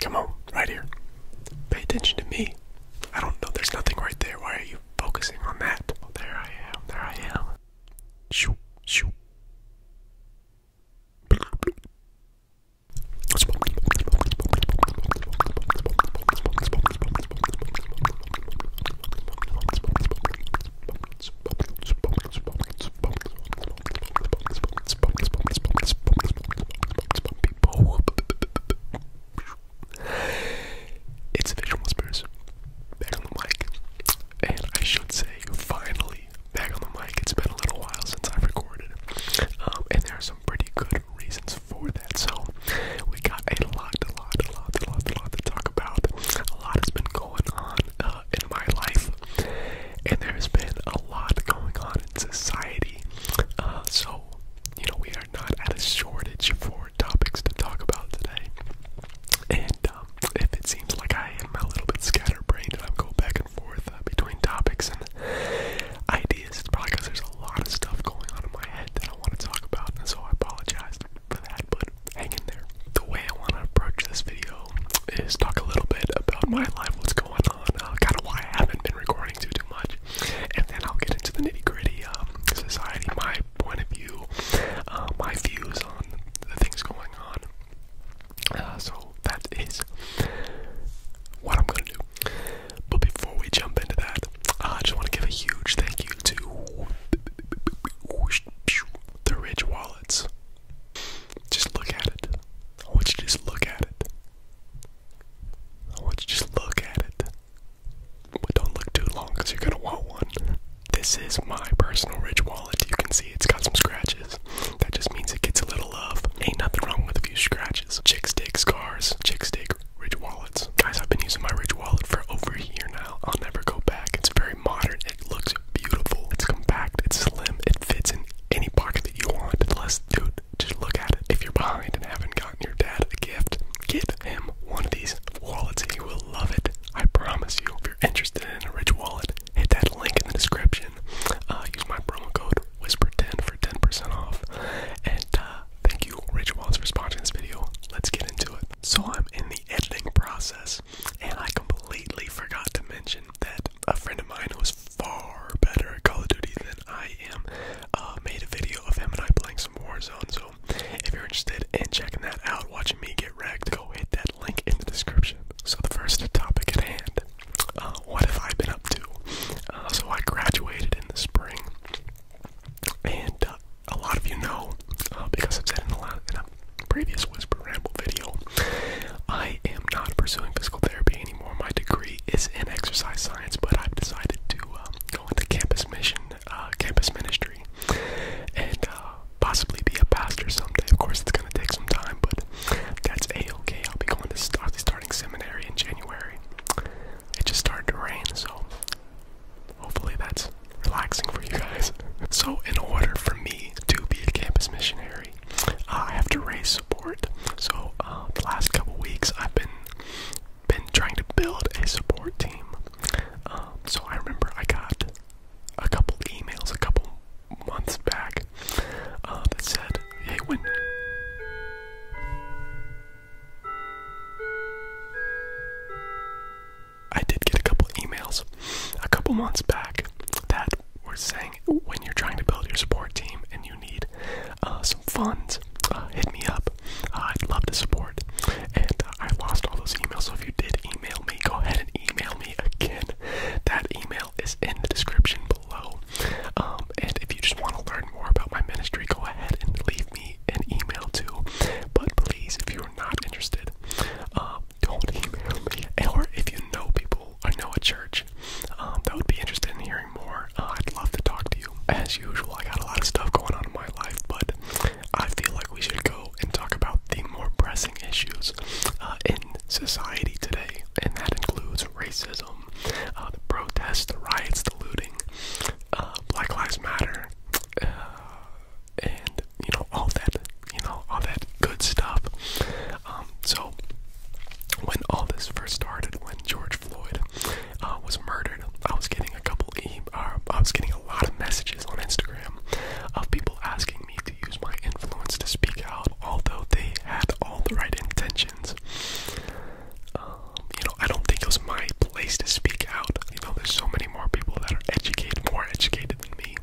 Come on, right here. Pay attention to me. I don't know, there's nothing right there. Why are you focusing on that? Oh, there I am, there I am. Shoo, shoo. It's Visual Whispers back on the mic, and I should say, finally back on the mic. It's been a little while since I've recorded, um, and there are some pretty good reasons for that. So, we got a lot, a lot, a lot, a lot, a lot to talk about. A lot has been going on uh, in my life and there's been a lot going on in society. Uh, so, you know, we are not at a shortage for topics to talk about today. And um, if it seems like I am a little bit scatterbrained and I am going back and forth uh, between topics and ideas, it's probably because there's a lot of stuff going on in my head that I want to talk about, so I apologize for that, but hang in there. The way I want to approach this video is talk a little bit about my life, what's going on kind of why I haven't been recording too too much. And then I'll get into the nitty gritty um, society, my point of view, uh, my views on the things going on. Uh, so that is what I'm gonna do. But before we jump into that, I just want to give a huge thank you to the Ridge Wallets. Just look at it. I want you to just look at it. I want just look at it. But don't look too long because you're going to want one. This is my personal Ridge wallet. You can see it's got some scratches. That just means it gets a little love. Ain't nothing wrong with a few scratches. Chick stick scars, chick stick Ridge wallets. Guys, I've been using my Ridge wallet for over a year now. I'll never go back. It's very modern. It looks beautiful. It's compact. It's slim. It fits in any pocket that you want, unless, dude, just look at it. If you're behind and haven't gotten your dad a gift, give him one of these wallets and he will love it. I promise you. If you're interested in a rich wallet, hit that link in the description. Uh, use my promo code Whisper10 for 10% off. And uh, thank you, Rich Wallets, for sponsoring this video. Let's get into it. So I'm in the editing process, and I completely forgot to mention that a friend of mine was far better at Call of Duty than I am. Uh, made a video of him and I playing some Warzone, so if you're interested in checking that out, watching me get wrecked, go hit that link in the description. So the first topic at hand, uh, what have I been up to? Uh, so I graduated in the spring, and uh, a lot of you know, uh, because I've said in, the last, in a previous Whisper Ramble video, I am not pursuing physical therapy anymore. My degree is in exercise science, but I've decided to um, go into campus mission, uh, campus ministry, and uh, possibly be a pastor someday. Of course, it's gonna take some time, but that's a okay. I'll be going to starting seminary in January. It just started to rain, so hopefully that's relaxing for you guys. So, in order for me to be a campus missionary, I have to raise support. So uh, the last couple weeks, I've been been trying to build a support team. Um, so I remember I got a couple emails a couple months back uh, that said, "Hey, when." I did get a couple emails a couple months back that we're saying when you're trying to build your support team and you need uh, some funds, uh, hit me up. Uh, I'd love to support. And I lost all those emails, so if you did email me, go ahead and email me again. That email is in the description below. Um, and if you just want to learn more about my ministry, go ahead and leave me an email too. But please, if you're not interested, don't email me. Or if you know people I know a church um, that would be interested in hearing more, uh, I'd love to talk to you. As usual, I got a lot of stuff going on in my life, but I feel like we should go and talk about the more pressing issues uh, in society today, and that includes racism, uh, the protests, the riots, the looting, Black Lives Matter, and you know all that, you know all that good stuff. Um, so, when all this first started, when George Floyd uh, was murdered, I was getting a couple, e uh, I was getting a lot of messages on Instagram of people asking me to use my influence to speak out, although they had all the right intentions. Um, you know, I don't think it was my place to speak out. You know, there's so many more people that are educated, more educated than me.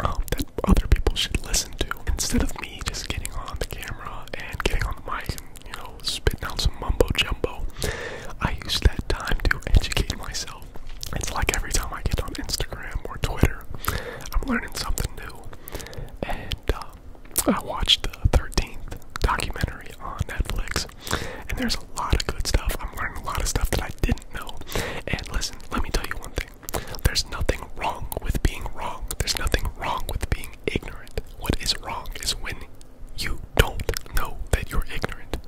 Um, that other people should listen to instead of me just getting on the camera and getting on the mic and you know spitting out some mumbo jumbo. I use that time to educate myself. It's like every time I get on Instagram or Twitter, I'm learning something new. And uh, I watched the 13th documentary on Netflix, and there's a lot of good stuff. I'm learning a lot of stuff that I didn't know. And listen, let me tell you one thing there's nothing wrong with being wrong. There's nothing wrong with being ignorant. What is wrong is when you don't know that you're ignorant.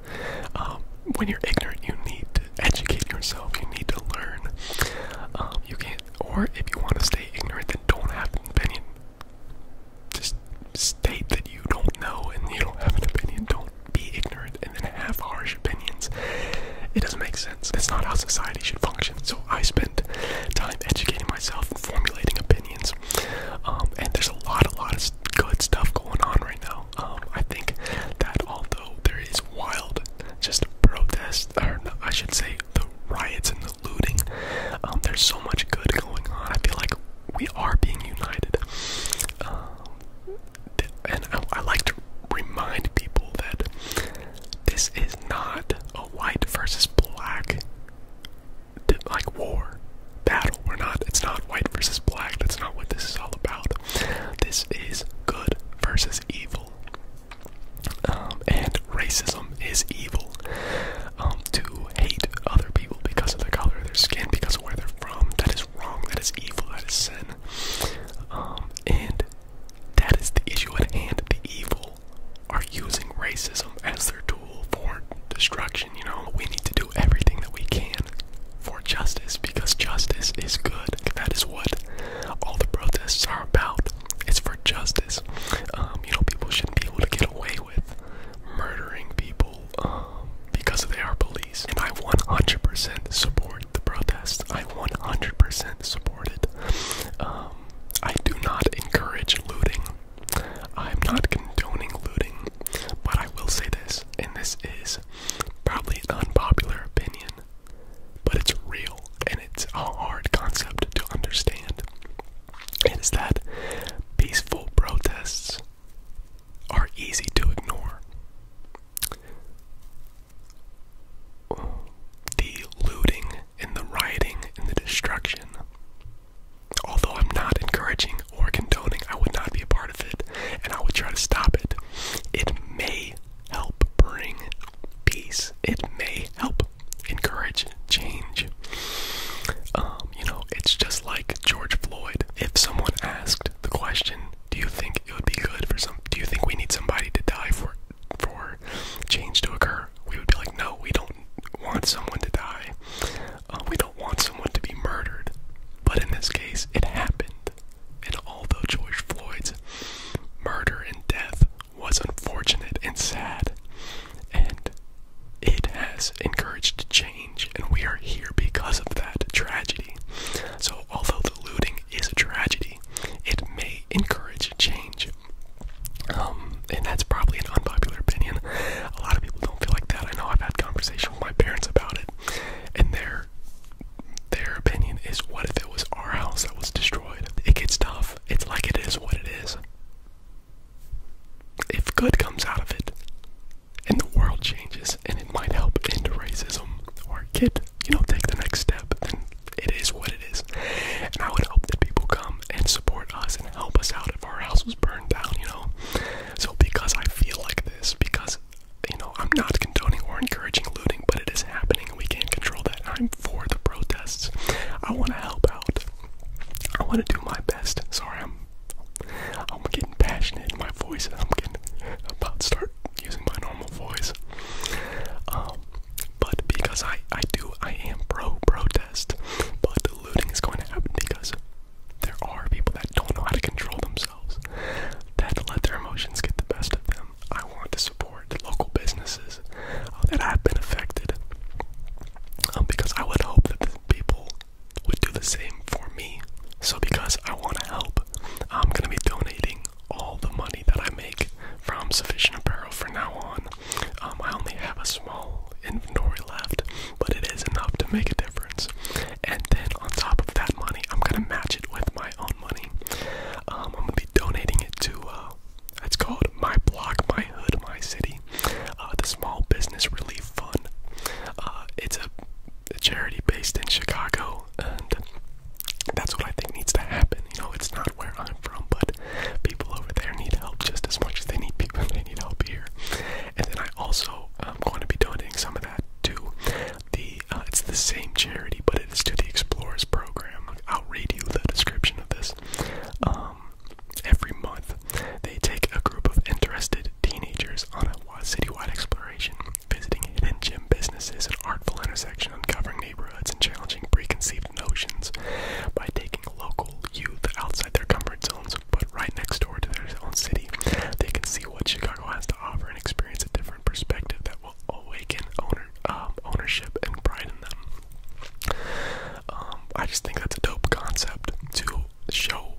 Um, when you're ignorant, you need to educate yourself. You need to learn. Um, you can't, or if you want to stay ignorant, then don't have an opinion. Just state that you don't know and you don't have an opinion. Don't be ignorant and then half-harsh opinions. It doesn't make sense. That's not how society should function. So I spend time educating myself and formulating opinions. Um, and there's a lot, a lot of good stuff going on right now. Um, I think that although there is wild, just protest, I should say the riots and the looting, um, there's so much good going on. I feel like we are being united. and I, I like to remind people that this is not a white versus black like war battle. We're not it's not white versus black. That's not what this is all about. This is good versus evil. Um, and racism is evil. Um, to hate other people because of the color of their skin, because of where they're from, that is wrong, that is evil, that is sin. Um, and that is the issue at hand. The evil are using racism as their tool for destruction, you know? We need to do everything that we can for justice because justice is good. That is what all the protests are about. It's for justice. Um, you know, people shouldn't be able to get away with murdering people um, because they are police. And I 100% support the protest. I 100% support it. Um, I do not encourage looting. I'm not condoning looting, but I will say this, and this is probably an unpopular opinion, but it's real and it's a hard concept to understand. It is that peaceful protests are easy to ignore the looting and the rioting and the destruction. Although I'm not encouraging or condoning, I would not be a part of it and I would try to stop it. It may help bring peace, it may help encourage change. Um, you know, it's just like George Floyd. If someone asked the question, do you think it would be good for some do you think we need somebody to die for for change to occur, we would be like, no, we don't want someone to die. Uh, we don't want someone to be murdered. But in this case, it happened. And although George Floyd's murder and death was unfortunate and sad, and it has encouraged change, and we are here because of that tragedy. So, although the looting is a tragedy. It may encourage change. Um, and that's probably an unpopular opinion. A lot of people don't feel like that. I know I've had conversations with my parents about it, and their their opinion is, "What if it was our house that was destroyed?" It gets tough. It's like it is what it is. If good comes out of it, and the world changes, and it might help end racism or get you know take the next step, then it is what it is. And I would hope that people come and support us and help us out if our house was burned down, you know? So because I feel like this, because, you know, I'm not condoning or encouraging looting, but it is happening and we can't control that. I'm for the protests. I want to help out. I want to do my best. Sorry, I'm I'm getting passionate in my voice and I'm getting about to start using my normal voice. Um, but because I I do I am pro protest, but looting is going to happen because there are people that don't know how to control themselves, that let their emotions get the best of them. I want to support local businesses uh, that have been affected, um, because I would hope that the people would do the same for me. So because I want to help, I'm gonna be donating all the money that I make from Sufficient Apparel for now on. Um, I only have a small inventory left, but it is enough to make a difference. And then on top of that money, I'm gonna match it with my own money. Um, I'm gonna be donating it to. Uh, it's called My Block, My Hood, My City, uh, the Small Business Relief Fund. Uh, it's a, a charity based in Chicago, and that's what I think needs to happen. You know, it's not where I'm from, but people over there need help just as much as they need people. They need help here. And then I also am going to be donating some of that to the. Uh, it's the same charity, but it is to the Explorers program. I'll read you the description of this. Um, every month, they take a group of interested teenagers on a citywide exploration visiting hidden gem businesses and artful intersection uncovering neighborhoods and challenging preconceived notions by taking local youth outside their comfort zones but right next door to their own city they can see what chicago has to offer and experience a different perspective that will awaken um, ownership and pride in them um, i just think that's a dope concept to show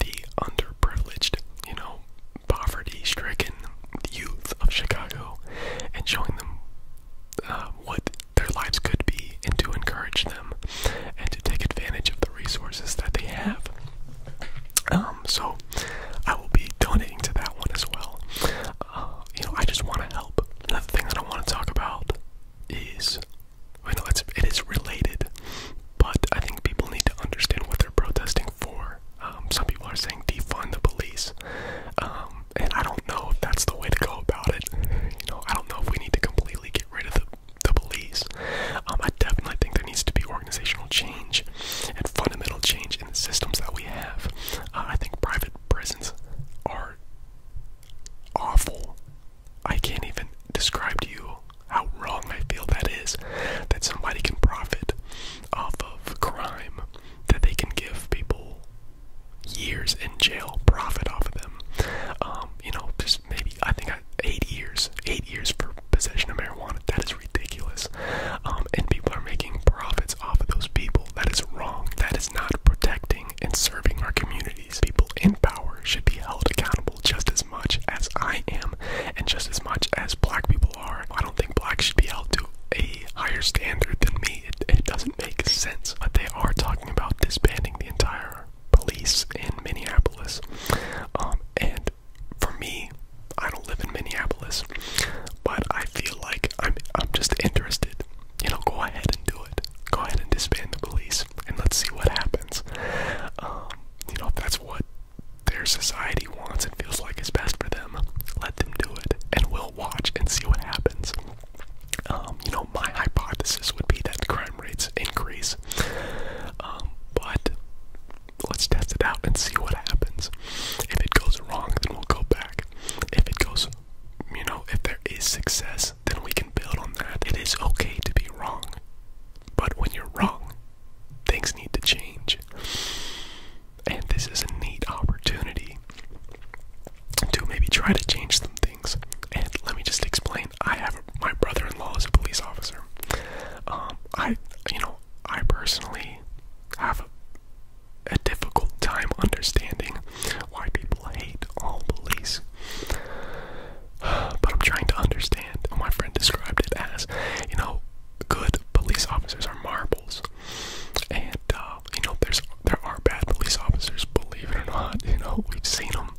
the underprivileged you know poverty stricken youth of Chicago and showing them uh, what their lives could be and to encourage them and to take advantage of the resources that they have. Um, so I will be donating to that one as well. Uh, you know, I just want to help. Another thing that I want to talk about is, I know it's, it is related, but I think people need to understand what they're protesting for. Um, some people are saying defund the police, um, and I don't know if that's the way to go about it. You know, I don't know if we need to completely get rid of the, the police. Um, I definitely think there needs to be organizational change and fundamental change in the systems that we have. Uh, I think private prisons are awful. I can't even describe to you how wrong I feel that is that somebody can profit off of crime that they can give people years in jail profit off of them. Um, you know, just maybe I think I, eight years, eight years for possession of marijuana. That is ridiculous. Um, and people are making profits off of those people. That is wrong. That is not protecting and serving our communities. People in power should be held accountable just as much as I am, and just as much as black people I don't think blacks should be held to a higher standard than me. It, doesn't make sense. But they are talking about disbanding the entire police in Minneapolis. Um, and for me, I don't live in Minneapolis, but I feel like I'm I'm just interested. You know, go ahead and do it. Go ahead and disband the police, and let's see what happens. Um, you know, if that's what their society wants and feels like is best for them, let them do it, and we'll watch and see what happens. Um, you know, my hypothesis would be that crime rates increase, um, but let's test it out and see what happens. If it goes wrong, then we'll go back. If it goes, you know, if there is success, then we can build on that. It is okay to be wrong, but when you're wrong, things need to change and this is a neat opportunity to maybe try to change some things. And let me just explain. I have a, my brother-in-law is a police officer. Um, I, you know, I personally have a, a difficult time understanding why people hate all police. But I'm trying to understand. My friend described it as, you know, good police officers are marbles. And uh, you know, there's there are bad police officers, believe it or not. You know, we've seen them.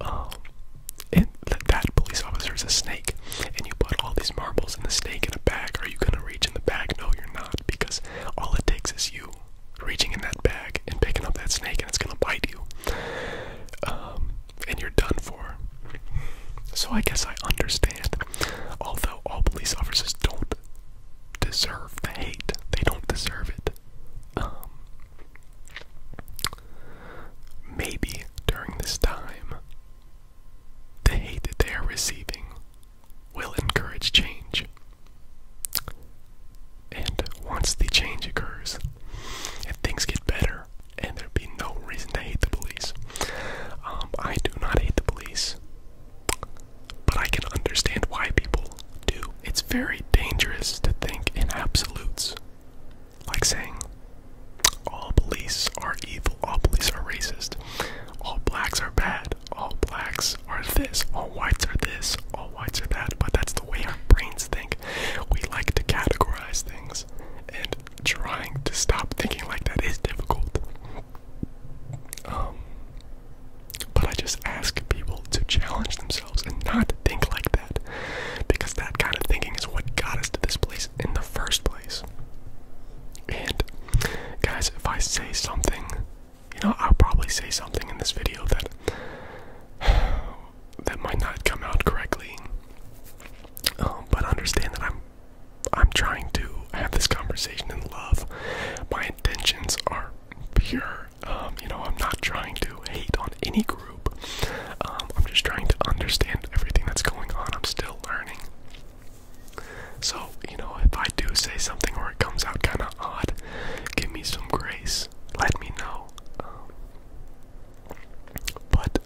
Um, and th that police officer is a snake, and you put all these marbles in the snake in a bag. Are you gonna reach in the bag? No, you're not, because all it takes is you reaching in that bag and picking up that snake, and it's gonna bite you. Um, and you're done for. So I guess I understand Although all police officers don't deserve the hate, they don't deserve it. Um, maybe during this time, the hate that they are receiving will encourage change. And once the change occurs, and things get better, and there be no reason to hate the police. Um, I do not hate the police, but I can understand why people do. It's very dangerous to think in absolutes, like saying all police are evil, all police are racist, all blacks are bad, all blacks are this, all whites are this, all whites are that. But that's the way our brains think. We like to categorize things and trying to stop thinking like that is difficult. Um, but I just ask people to challenge themselves and not think like that, because that kind of thinking is what got us to this place in the first place. And guys, if I say something, you know, I'll probably say something in this video that that might not come out correctly. Um, but understand that I'm I'm trying to have this conversation in love. My intentions are pure. Um, you know, I'm not trying to hate on any group. Um, I'm just trying to understand everything that's going on. I'm still learning. So, you know, if I do say something or it comes out kind of odd, give me some grace. Let me know. Um, but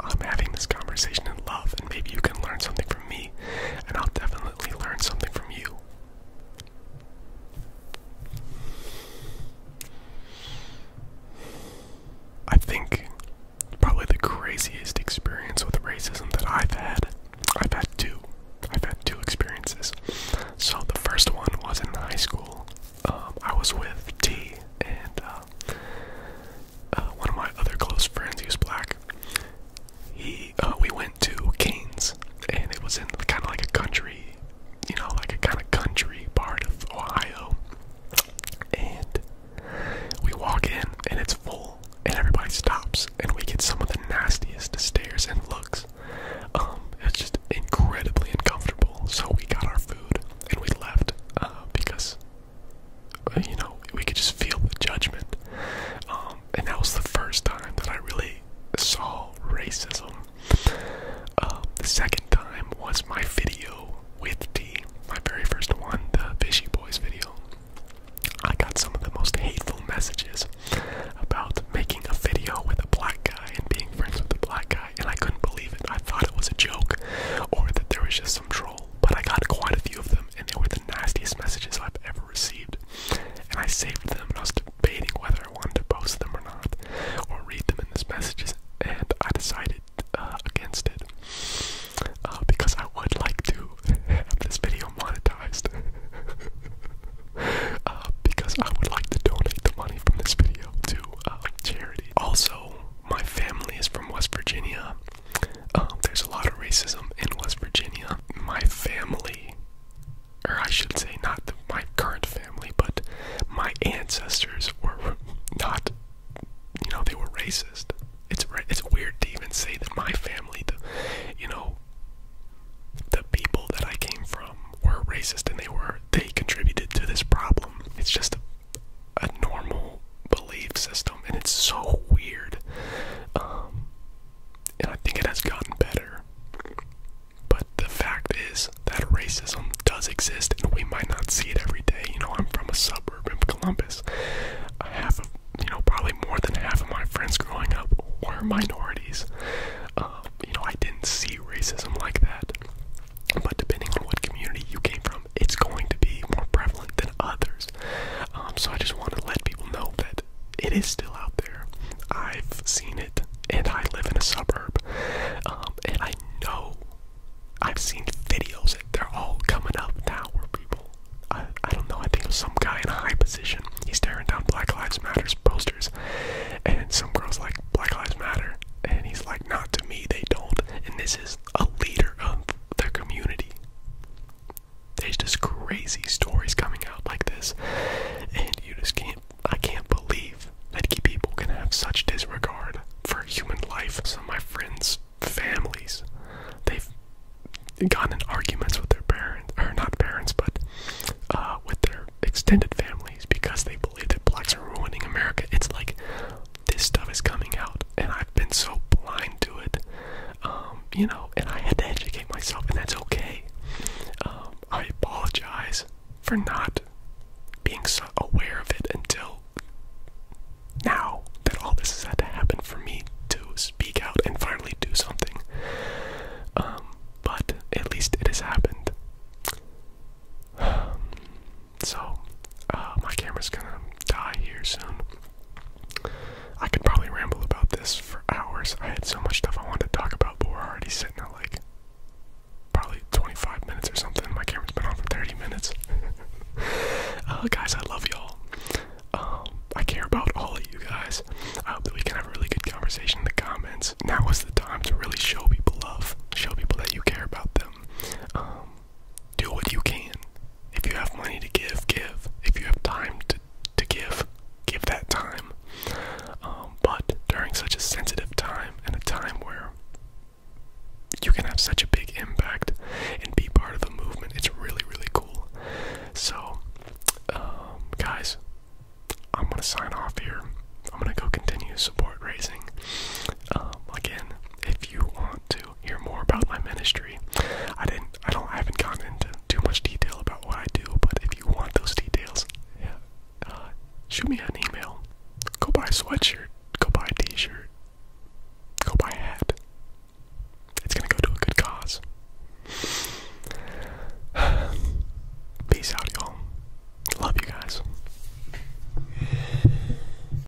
I'm having this conversation in love, and maybe you can learn something from me, and I'll definitely learn something from you. I think probably the craziest experience with racism that I've had, I've had two. I've had two experiences. So the first one was in high school. Um, I was with T, and uh, uh, one of my other close friends, he was black. He, uh, we went to Canes, and it was in kind of like a country, you know, like a kind of country part of Ohio. And we walk in, and it's full, and everybody stops, and we get some of the nastiest stares and looks. Um, it's just incredibly uncomfortable. So we got our food, and we left uh, because you know, we could just feel the judgment. Um, and that was the first time that I really saw racism. Um, the second time was my video with T, my very first one, the Fishy Boys video. I got some of the most hateful messages about making a video with a black guy and being friends with a black guy, and I couldn't believe it. I thought it was a joke or that there was just troll, but I got quite a few of them, and they were the nastiest messages I've ever received. And I saved them, and I was debating whether I wanted to post them or not, or read them in these messages, and I decided uh, against it uh, because I would like to have this video monetized. Uh, because I would like to donate the money from this video to charity. Also, my family is from West Virginia, um, there's a lot of racism in West Virginia. My family, or I should say, not my current family, but my ancestors were not, you know, they were racist. It's it's weird to even say that my family, the, you know, the people that I came from were racist, and they were they contributed to this problem. It's just a a normal belief system, and it's so weird. Um, and I think it has gotten better. But the fact is that racism does exist, and we might not see it every day. You know, I'm from a suburb of Columbus. Half of, you know, probably more than half of my friends growing up were minorities. Um, you know, I didn't see racism like that. But depending on what community you came from, it's going to be more prevalent than others. Um, so I just want to let people know that it is still out there. I've seen it, and I live in a suburb, um, and I know I've seen videos. They're all coming up now where people, I, don't know, I think it some guy in a high position. He's tearing down Black Lives Matter posters, and some girls like Black Lives Matter, and he's like, not to me, they don't. And this is a leader of their community. There's just crazy stories coming out like this, and you just can't. I can't believe that people can have such disregard for human life. Some of my friends' families, they've gotten in arguments with their parents, or not parents, but uh, with their extended families because they believe that blacks are ruining America. It's like, this stuff is coming out, and I've been so blind to it, um, you know, and I had to educate myself, and that's okay. Um, I apologize for not being so aware of it until now that all this has had to happen for me to speak out and finally do something. Um, but at least it has happened. So, uh, my camera's gonna die here soon. I could probably ramble about this for hours. I had so much stuff I wanted to talk about, but we're already sitting at like probably 25 minutes or something. My camera's been on for 30 minutes. uh, guys, I love y'all. Um, I care about all of you guys. I hope that we can have a really good conversation in the comments. Now is the time to really show people love, show people that you care about them. Um, do what you can. If you have money to give, give. If you have time to, to give, give that time. Um, but during such a sensitive time and a time where you can have such a big impact and be part of the movement, it's really, really cool. So, um, guys, I'm going to sign off here. I'm going to go continue support raising. Um, again, if you want to hear more about my ministry, I didn't, I don't, I haven't gotten into too much detail about what I do. But if you want those details, yeah, uh, shoot me an email. Go buy a sweatshirt. Go buy a T-shirt. Go buy a hat. It's gonna go to a good cause. Peace out, y'all. Love you guys.